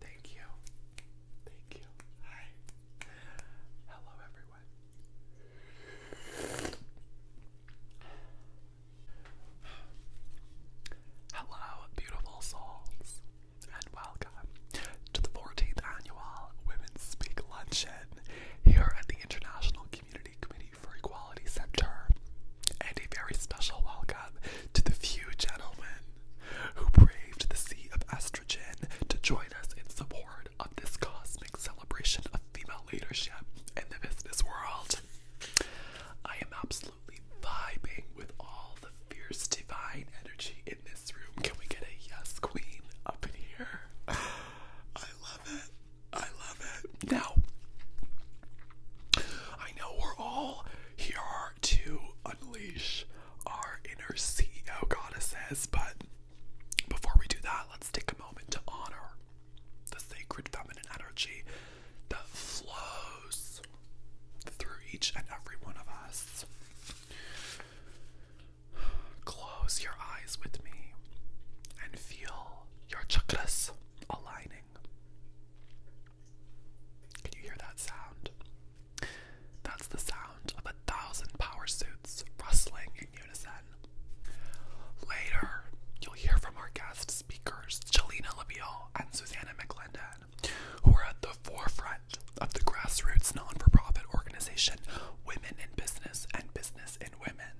Thank you. Thank you. Hi. Hello, everyone. Hello, beautiful souls, and welcome to the 14th Annual Women's Speak Luncheon here at the International Community Committee for Equality. Center, and a very special welcome to the few gentlemen who braved the sea of estrogen to join us in support of this cosmic celebration of female leadership in the business world. I am absolutely vibing with all the fierce divine energy in this room. Can we get a yes, queen, up in here? I love it. I love it. Now, I know we're all here to unleash our inner CEO goddesses. But before we do that, let's take a moment to honor the sacred feminine energy that flows through each and every one of us. Close your eyes with me and feel your chakras aligning. Can you hear that sound? That's the sound of a thousand power suits rustling in unison. Later, you'll hear from our guest speakers, Jelena Labiel and Susanna McClendon, who are at the forefront of the grassroots non for profit organization Women in Business and Business in Women,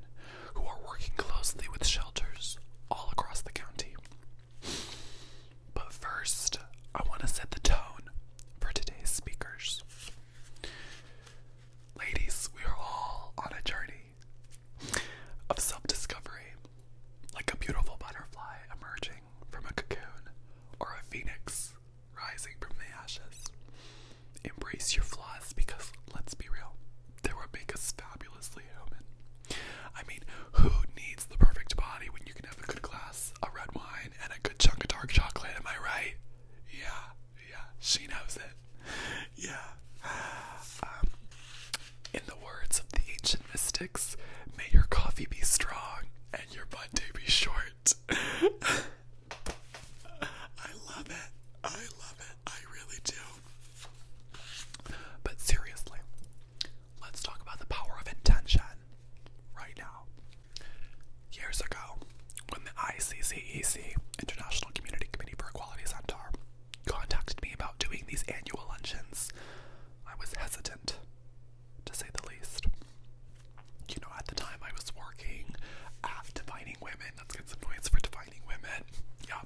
who are working closely with shelters all across the county. But first, I want to set the tone for today's speakers. Ladies, we are all on a journey of self discovery, like a beautiful butterfly emerging from a cocoon or a phoenix rising from the ashes. Embrace your flaws because, let's be real, they will make us fabulously human. I mean, who needs the perfect body when you can have a good glass of red wine and a good chunk of dark chocolate? Am I right? Yeah, yeah, she knows it. Yeah. Um, in the words of the ancient mystics, may your coffee be strong and your butt day be short. I love it. I love it. I really do. But seriously, let's talk about the power of intention right now. Years ago, when the ICCEC, International Community Committee for Equality Center, contacted me about doing these annual luncheons, I was hesitant, to say the least. You know, at the time I was working at Defining Women, that's get some points for Defining Women. Yeah,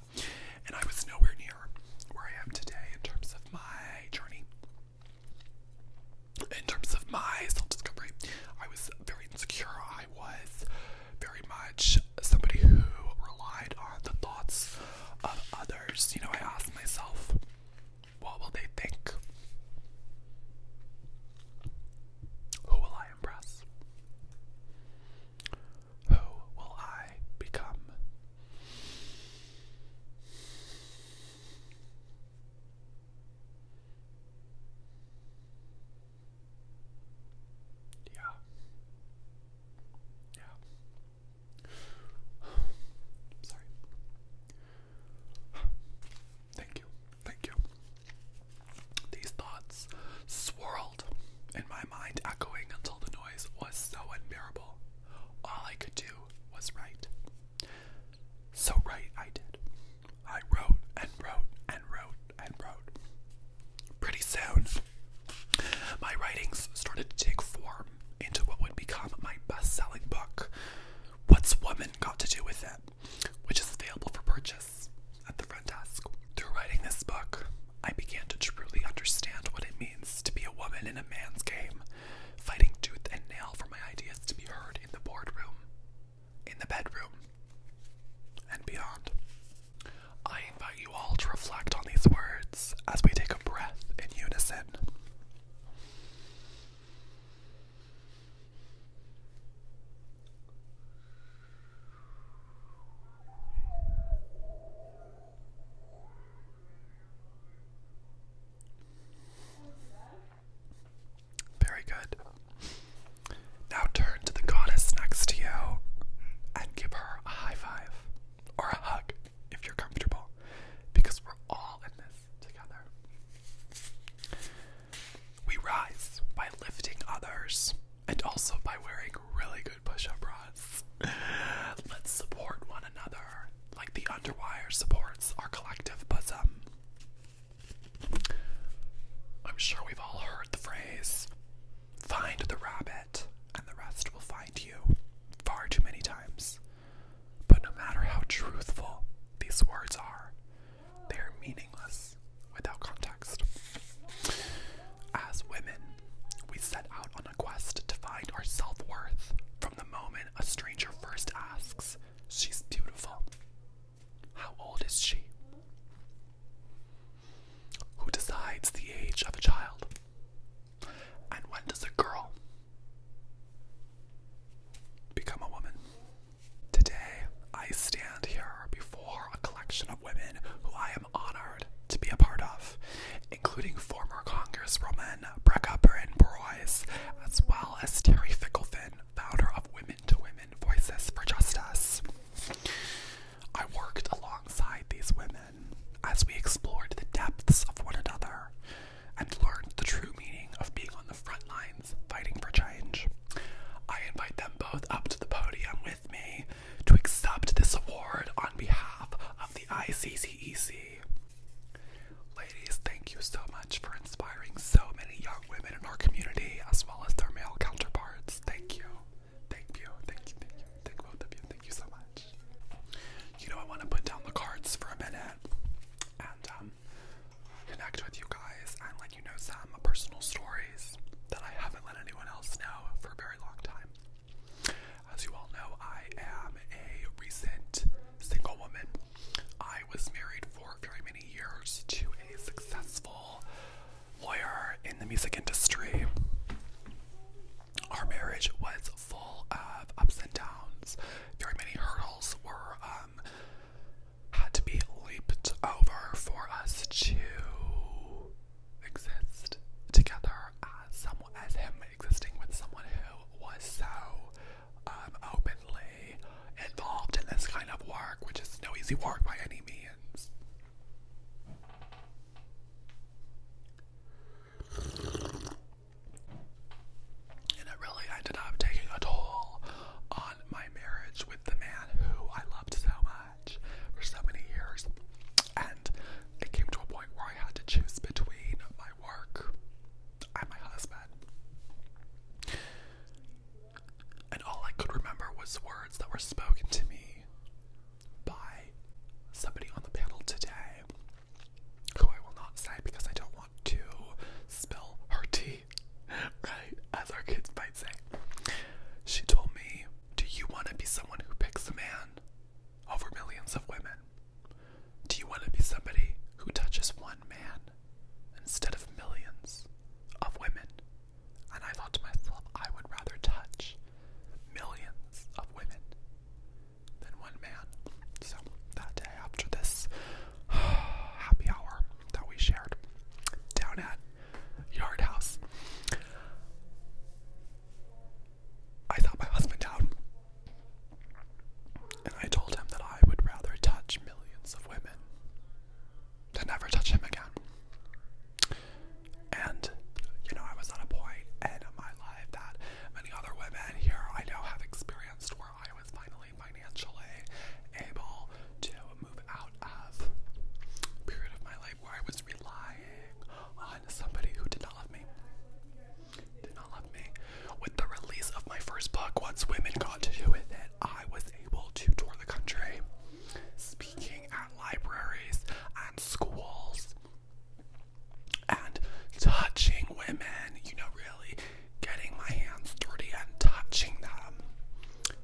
and I was nowhere near where I am today in terms of my journey. In terms of my self discovery, I was very insecure. I was very much somebody who relied on the thoughts of others. You know, I asked myself, what will they think? Who will I impress? Who will I become? Yeah. Yeah. Sorry. Thank you. Thank you. These thoughts swirled in my mind echoing until the noise was so unbearable. All I could do was write. So write I did. I wrote and wrote and wrote and wrote. Pretty soon, my writings started to take form into what would become my best selling book, What's Woman Got to Do with It, which is available for purchase at the front desk. Through writing this book, I began to truly understand what it means to be a woman in a man's game, fighting tooth and nail for my ideas to be heard in the boardroom, in the bedroom, and beyond. I invite you all to reflect on these words as we take a breath in unison. Very good. Now turn to the goddess next to you and give her a high five or a hug if you're comfortable because we're all in this together. We rise by lifting others and also by wearing really good push up bras. Let's support one another like the underwire supports our collective bosom. I'm sure we've all heard the phrase find the rabbit and the rest will find you far too many times. But no matter how truthful these words are, they are meaningless without context. As women, we set out on a quest to find our self worth from the moment a stranger first asks, She's beautiful. How old is she? Who decides the age of a child? And when does a girl become a woman? Today, I stand here before a collection of women who I am honored to be a part of, including former Congresswoman Brecca Burren Boyce, as well as Terry Ficklefin, founder of Women to Women Voices for Justice. I worked alongside these women as we explored the depths of one another and learned the true meaning of being on the front lines fighting for change. I invite them both up to the podium with to accept this award on behalf of the ICCEC. Ladies, thank you so much for inspiring so many young women in our community as well as their male counterparts. Thank you. Thank you. Thank you. Thank you. Thank both of you. Thank you so much. You know, I want to put down the cards for a minute and um, connect with you guys and let you know some personal stories that I haven't let anyone else know for a very long time. As you all know, I am a recent single woman. I was married for very many years to a successful lawyer in the music industry. Our marriage was full of ups and downs. Very many hurdles were um had to be leaped over for us to exist together as someone as him existing with someone who was so um, openly involved in this kind of work, which is no easy work by any means. And it really ended up taking a toll on my marriage with the man who I loved so much for so many years, and it came to a point where I had to choose between my work and my husband. And all I could remember was words that were spoken to me by somebody on the panel today, who I will not say because I don't want to spill her tea, right? As our kids might say. She told me do you want to be someone who picks a man over millions of women? Do you want to be somebody who touches one man instead of millions of women? And I thought to myself, I would rather touch millions of women than one man. So that day after this happy hour that we shared down at Yard House, I thought my husband out. And I told him that I would rather touch millions of women than never touch him again. And, you know, I was at a point in my life that many other women here I know have experienced where I was finally financially able to move out of period of my life where I was relying on somebody who did not love me. Did not love me. With the release of my first book, Once Women Got to Do With It, I was able to tour the country, speaking at libraries and schools, and touching women, you know, really getting my hands dirty and touching them.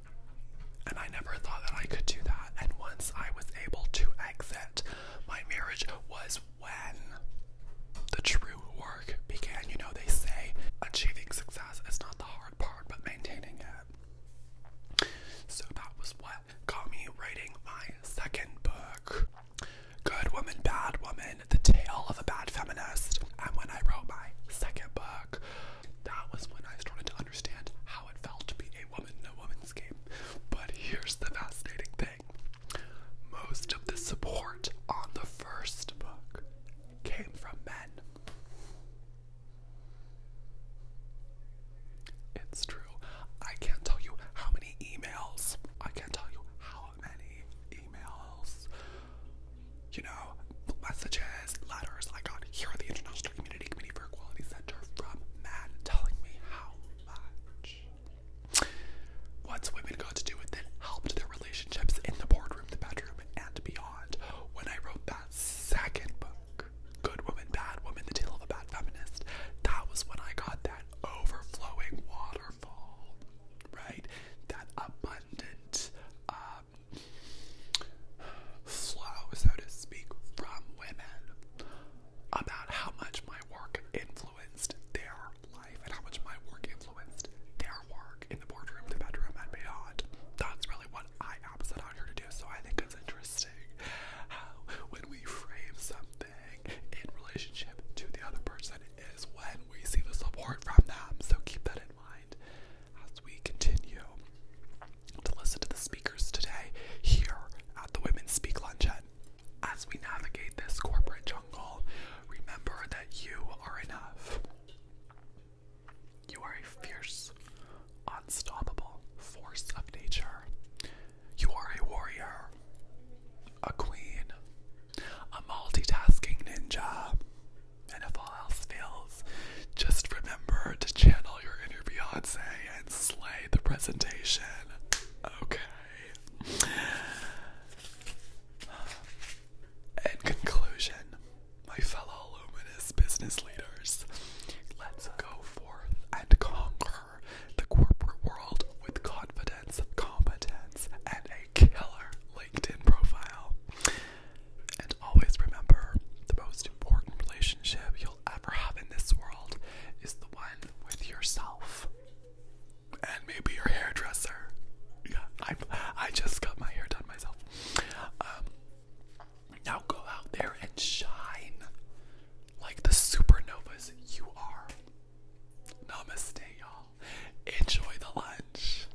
And I never thought that I could do that. And once I was able to exit my marriage, was when the true work began. You know, they say achieving success is not the hard part, but maintaining it. So that was what got me writing my second book. Good Woman, Bad Woman, The Tale of a Bad Feminist. And when I wrote my second book, that was when I started to understand how it felt to be a woman in woman's game. But here's the fascinating thing most of the support on the first book came from men. It's true. I can't tell you how many emails, I can't tell you how many emails, you know, messages, letters I got. Here are the international Community Committee for Equality Center from Matt telling me how much. What's women got to do with it helped their relationships in the boardroom, the bedroom, and beyond. When I wrote that second book, Good Woman, Bad Woman, The Tale of a Bad Feminist, that was when I got that overflowing waterfall, right? That abundant um, flow, so to speak, from women about how much my work influenced their life and how much my work influenced their work in the boardroom, the bedroom, and beyond. That's really what I am set out here to do. So I think it's interesting how when we frame something in relationship to the other person is when we see the support from them. So keep that in mind as we continue to listen to the speakers today here at the Women Speak Luncheon. As we navigate this corporate jungle, remember that you are enough. You are a fierce, unstoppable force of nature. You are a warrior, a queen, a multitasking ninja. And if all else fails, just remember to channel your inner Beyonce slay the presentation. Okay. In conclusion, my fellow luminous business leaders, let's go forth and conquer the corporate world with confidence, competence, and a killer LinkedIn profile. And always remember the most most important relationship you'll ever have in this world is the one with yourself. And maybe your hairdresser. Yeah, I I just got my hair done myself. Um, now go out there and shine like the supernovas you are. Namaste, y'all. Enjoy the lunch.